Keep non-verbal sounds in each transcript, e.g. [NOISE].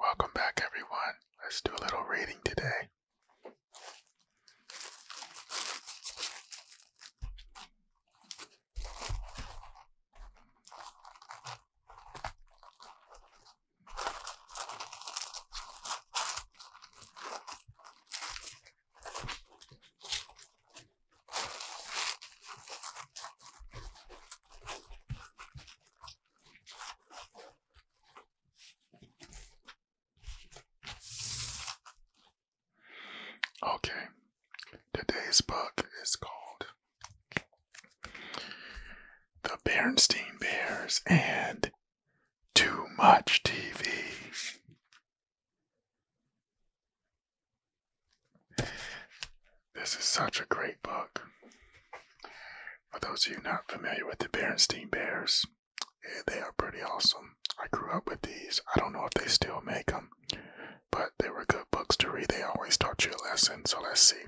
Welcome back, everyone. Let's do a little reading today. Okay, today's book is called The Bernstein Bears and Too Much TV. This is such a great book. For those of you not familiar with the Berenstain Bears, eh, they are pretty awesome. I grew up with these. I don't know if they still make them, but they were good books to read. They always taught you a lesson. So let's see.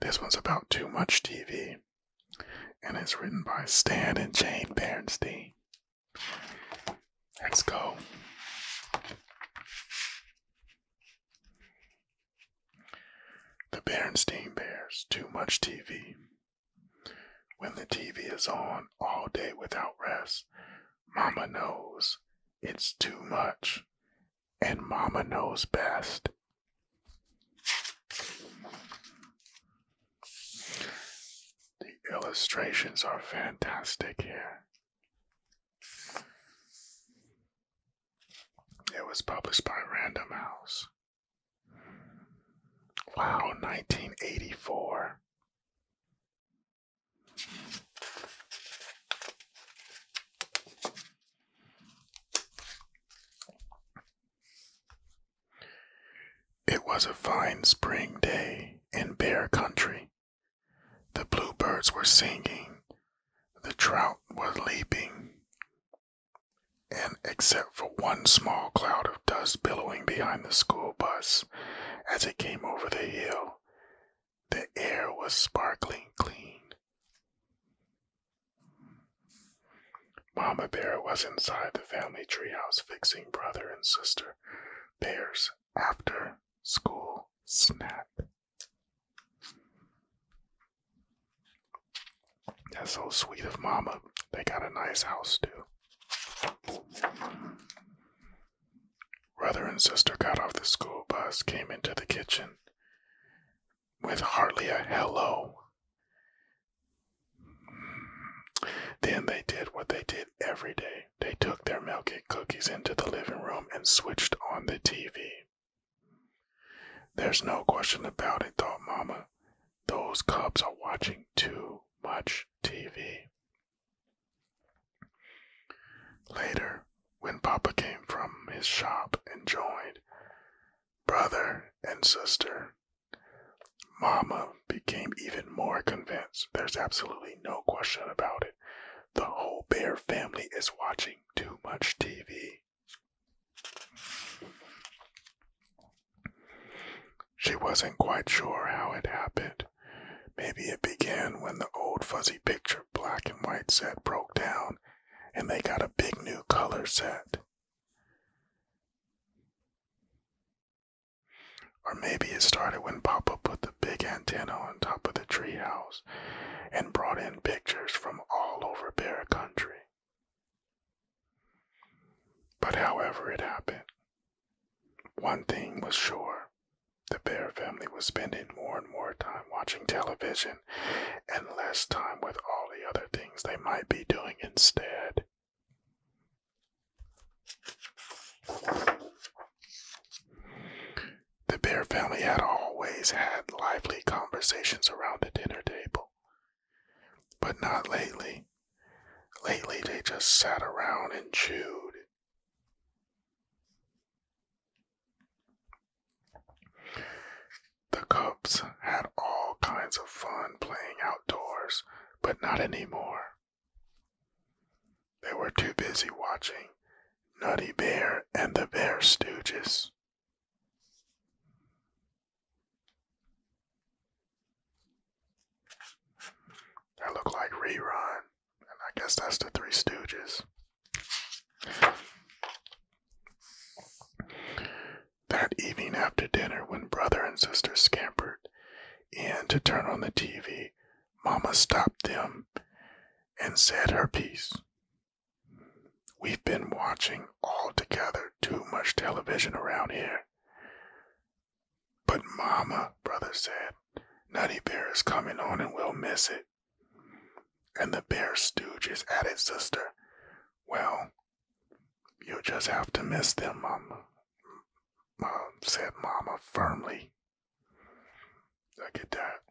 This one's about too much TV and it's written by Stan and Jane Bernstein. Let's go. The Berenstein Bears, too much TV. When the TV is on all day without rest, Mama knows it's too much, and Mama knows best. The illustrations are fantastic here. It was published by Random House. Wow, 1984. It was a fine spring day in Bear Country. The bluebirds were singing, the trout was leaping, and except for one small cloud of dust billowing behind the school bus as it came over the hill, the air was sparkling clean. Mama Bear was inside the family treehouse fixing brother and sister Bear's after school snack. That's so sweet of Mama. They got a nice house, too. Brother and sister got off the school bus, came into the kitchen, with hardly a hello. Then they did what they did every day. They took their milkshake cookies into the living room and switched on the TV. There's no question about it, thought Mama. Those cubs are watching too much TV. Later, when Papa came from his shop and joined, brother and sister. Mama became even more convinced. There's absolutely no question about it. The whole Bear family is watching too much TV. She wasn't quite sure how it happened. Maybe it began when the old fuzzy picture black and white set broke down and they got a big new color set. Or maybe it started when Papa put the big antenna on top of the treehouse and brought in pictures from all over Bear Country. But however it happened, one thing was sure the Bear family was spending more and more time watching television and less time with all the other things they might be doing instead. The Bear family had always had lively conversations around the dinner table, but not lately. Lately, they just sat around and chewed. The Cubs had all kinds of fun playing outdoors, but not anymore. They were too busy watching Nutty Bear and the Bear Stooges. That looked like Rerun, and I guess that's the Three Stooges. That evening after dinner, when brother and sister scampered in to turn on the TV, Mama stopped them and said her piece. We've been watching all together too much television around here. But Mama, brother said, Nutty Bear is coming on and we'll miss it. And the bear stooges at his sister. Well, you'll just have to miss them, Mama, Mom, said Mama firmly. Look at that.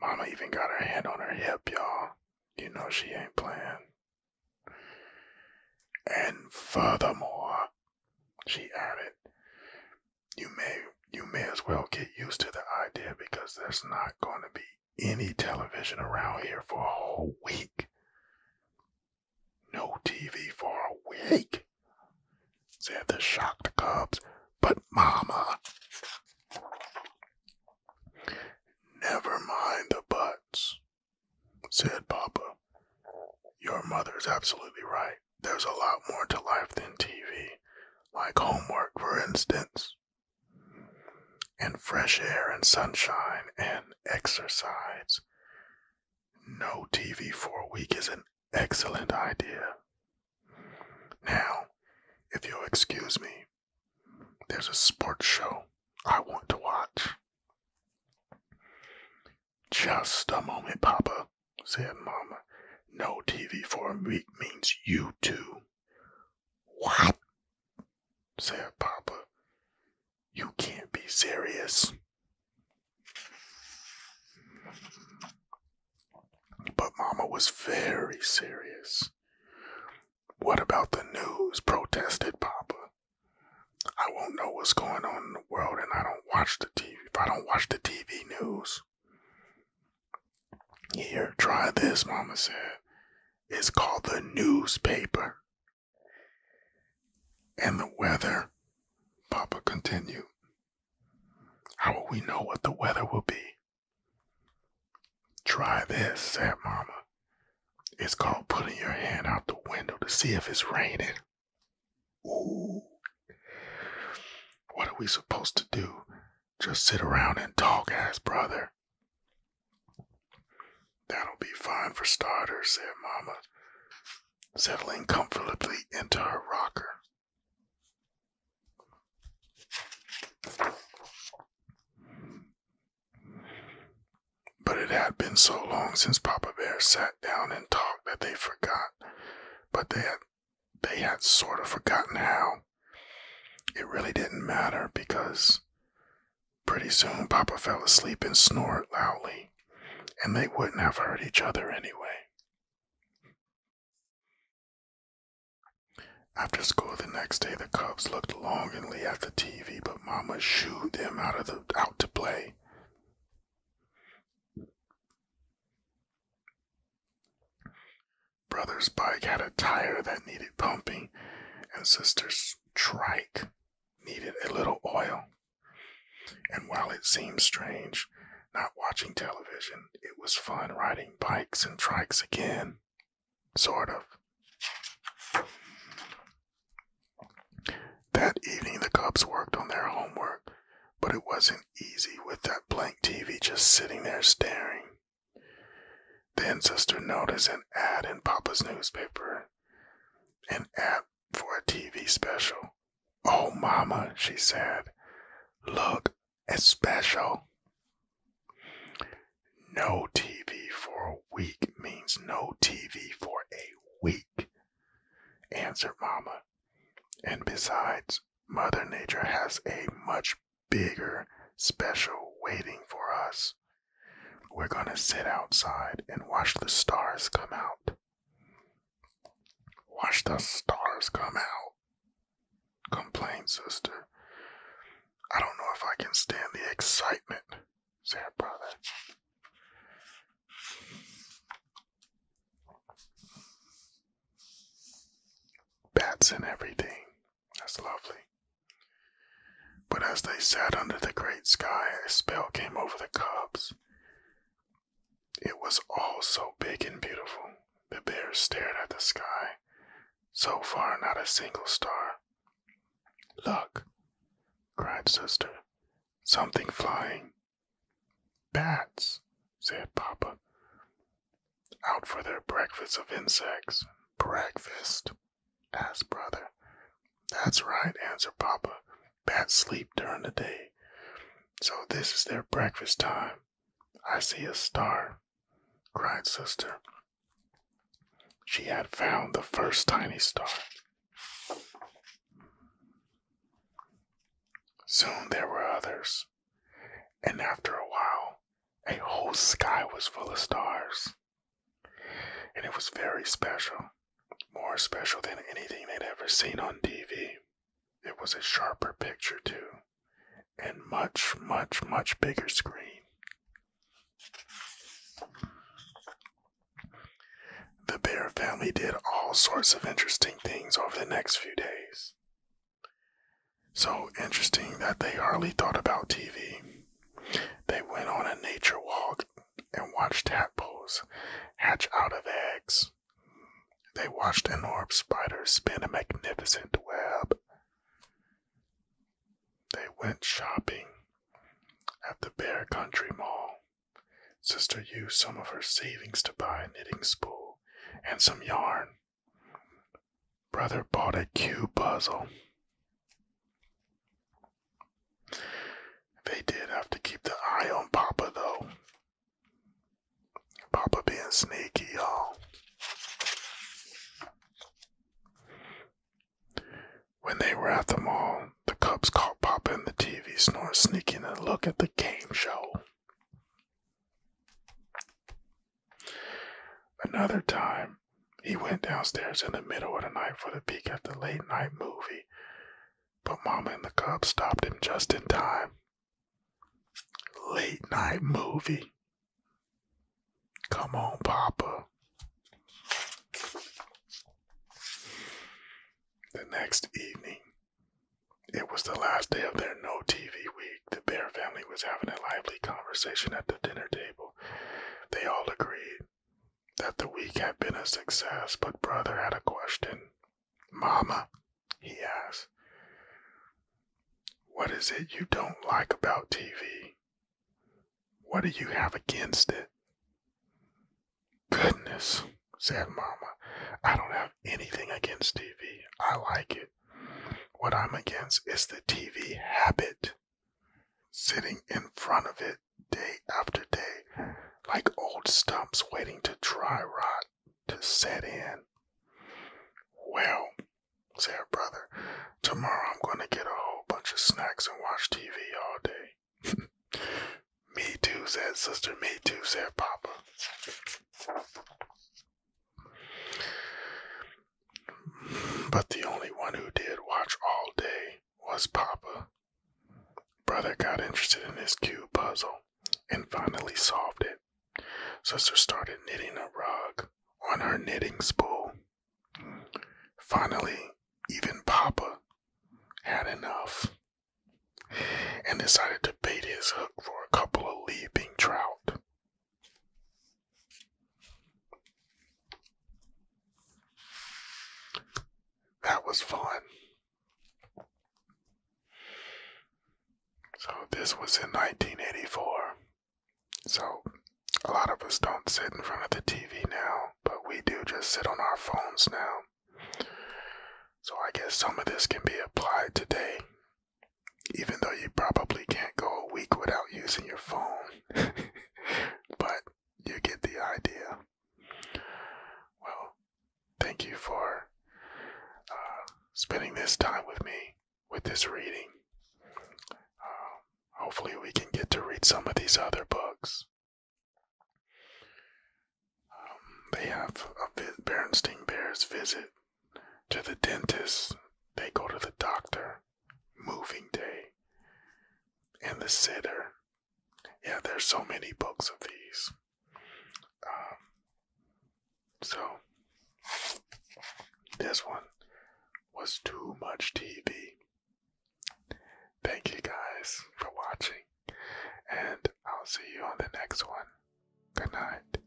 Mama even got her hand on her hip, y'all. You know she ain't playing. And furthermore, she added, you may you may as well get used to the idea because there's not going to be any television around here for a whole week. No TV for a week, said the shocked cubs. But, Mama, never mind the buts, said Papa. Your mother's absolutely right there's a lot more to life than TV, like homework, for instance, and fresh air and sunshine and exercise. No TV for a week is an excellent idea. Now, if you'll excuse me, there's a sports show I want to watch. Just a moment, Papa said Mamma. No TV for a week means you too. What? said Papa. You can't be serious. But Mamma was very serious. What about the news? protested Papa. I won't know what's going on in the world, and I don't watch the TV. If I don't watch the TV news, here, try this, Mama said. It's called the newspaper. And the weather, Papa continued. How will we know what the weather will be? Try this, said Mama. It's called putting your hand out the window to see if it's raining. Ooh. What are we supposed to do? Just sit around and talk, as brother. That'll be fine for starters, said Mama, settling comfortably into her rocker. But it had been so long since Papa Bear sat down and talked that they forgot. But they had they had sort of forgotten how. It really didn't matter because pretty soon Papa fell asleep and snored loudly, and they wouldn't have hurt each other anyway. After school the next day, the cubs looked longingly at the TV, but Mama shooed them out of the out to play. Brother's bike had a tire that needed pumping, and sister's trike needed a little oil. And while it seemed strange not watching television, it was fun riding bikes and trikes again. Sort of. That evening, the cubs worked on their homework, but it wasn't easy with that blank TV just sitting there staring. Then Sister noticed an ad in Papa's newspaper, an ad for a TV special. Oh, Mama, she said, look, it's special. No TV for a week means no TV for a week, answered Mama. And besides, Mother Nature has a much bigger special waiting for us. We're going to sit outside and watch the stars come out. Watch the stars come out, Complain, Sister. I don't know if I can stand the excitement, said Brother. Bats and everything. That's lovely. But as they sat under the great sky, a spell came over the cubs. It was all so big and beautiful. The bears stared at the sky. So far, not a single star. Look, cried Sister. Something flying. Bats, said Papa. Out for their breakfast of insects. Breakfast? asked Brother. That's right, answered Papa. Bats sleep during the day. So this is their breakfast time. I see a star, cried Sister. She had found the first tiny star. Soon there were others, and after a while, a whole sky was full of stars. And it was very special, more special than anything they'd ever seen on TV. It was a sharper picture, too, and much, much, much bigger screen. The Bear family did all sorts of interesting things over the next few days. So interesting that they hardly thought about TV. They went on a nature walk and watched tadpoles hatch out of eggs. They watched an orb spider spin a magnificent web. They went shopping at the Bear Country Mall. Sister used some of her savings to buy a knitting spool and some yarn. Brother bought a cube puzzle. They did have to keep the eye on Papa, though. Papa being sneaky, y'all. When they were at the mall, the cubs caught Papa in the TV snore, sneaking a look at the game show. Another time, he went downstairs in the middle of the night for the peek at the late night movie, but Mama and the cubs stopped him just in time. Late night movie. Come on, Papa. The next evening, it was the last day of their no TV week. The Bear family was having a lively conversation at the dinner table. They all agreed that the week had been a success, but Brother had a question. Mama, he asked, what is it you don't like about TV? What do you have against it? Goodness, said Mamma. I don't have anything against TV. I like it. What I'm against is the TV habit. Sitting in front of it day after day, like old stumps waiting to dry rot to set in. Well, said Brother Tomorrow I'm gonna get a whole bunch of snacks and watch TV all day. [LAUGHS] me too, said sister. Me too, said papa. But the only one who did watch all day was papa. Brother got interested in his cube puzzle and finally solved it. Sister started knitting a rug on her knitting spool. Finally, even Papa had enough and decided to bait his hook for a couple of leaping trout. That was fun. So, this was in 1984. So, a lot of us don't sit in front of the TV now, but we do just sit on our phones now. So, I guess some of this can be applied today, even though you probably can't go a week without using your phone. [LAUGHS] but you get the idea. Well, thank you for uh, spending this time with me with this reading. Um, hopefully, we can get to read some of these other books. Um, they have a vi- Bernstein Bears visit to the dentist. They go to the doctor. Moving Day and the Sitter. Yeah, there's so many books of these. Um, so this one was too much TV. Thank you guys for watching, and I'll see you on the next one. Good night.